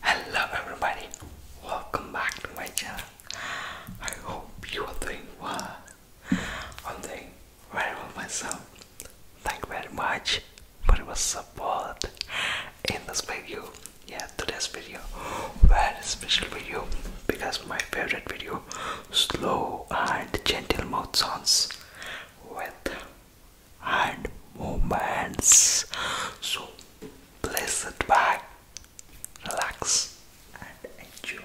Hello everybody, welcome back to my channel. I hope you are doing well. I'm doing very well myself. Thank you very much for your support in this video. Yeah, today's video, very special video because my favorite video, slow and gentle mouth sounds with hand movements. So Please sit back, relax, and enjoy.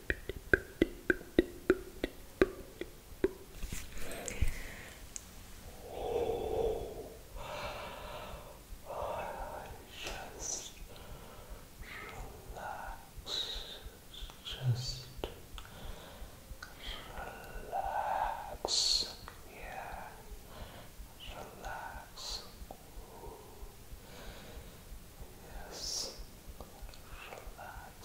Just relax. Just relax. Yeah. Relax. Yes. Relax.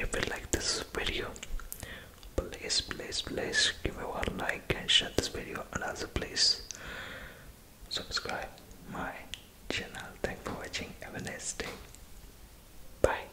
If you like this video, please please please give me one like and share this video and also please subscribe my channel thanks for watching have a nice day bye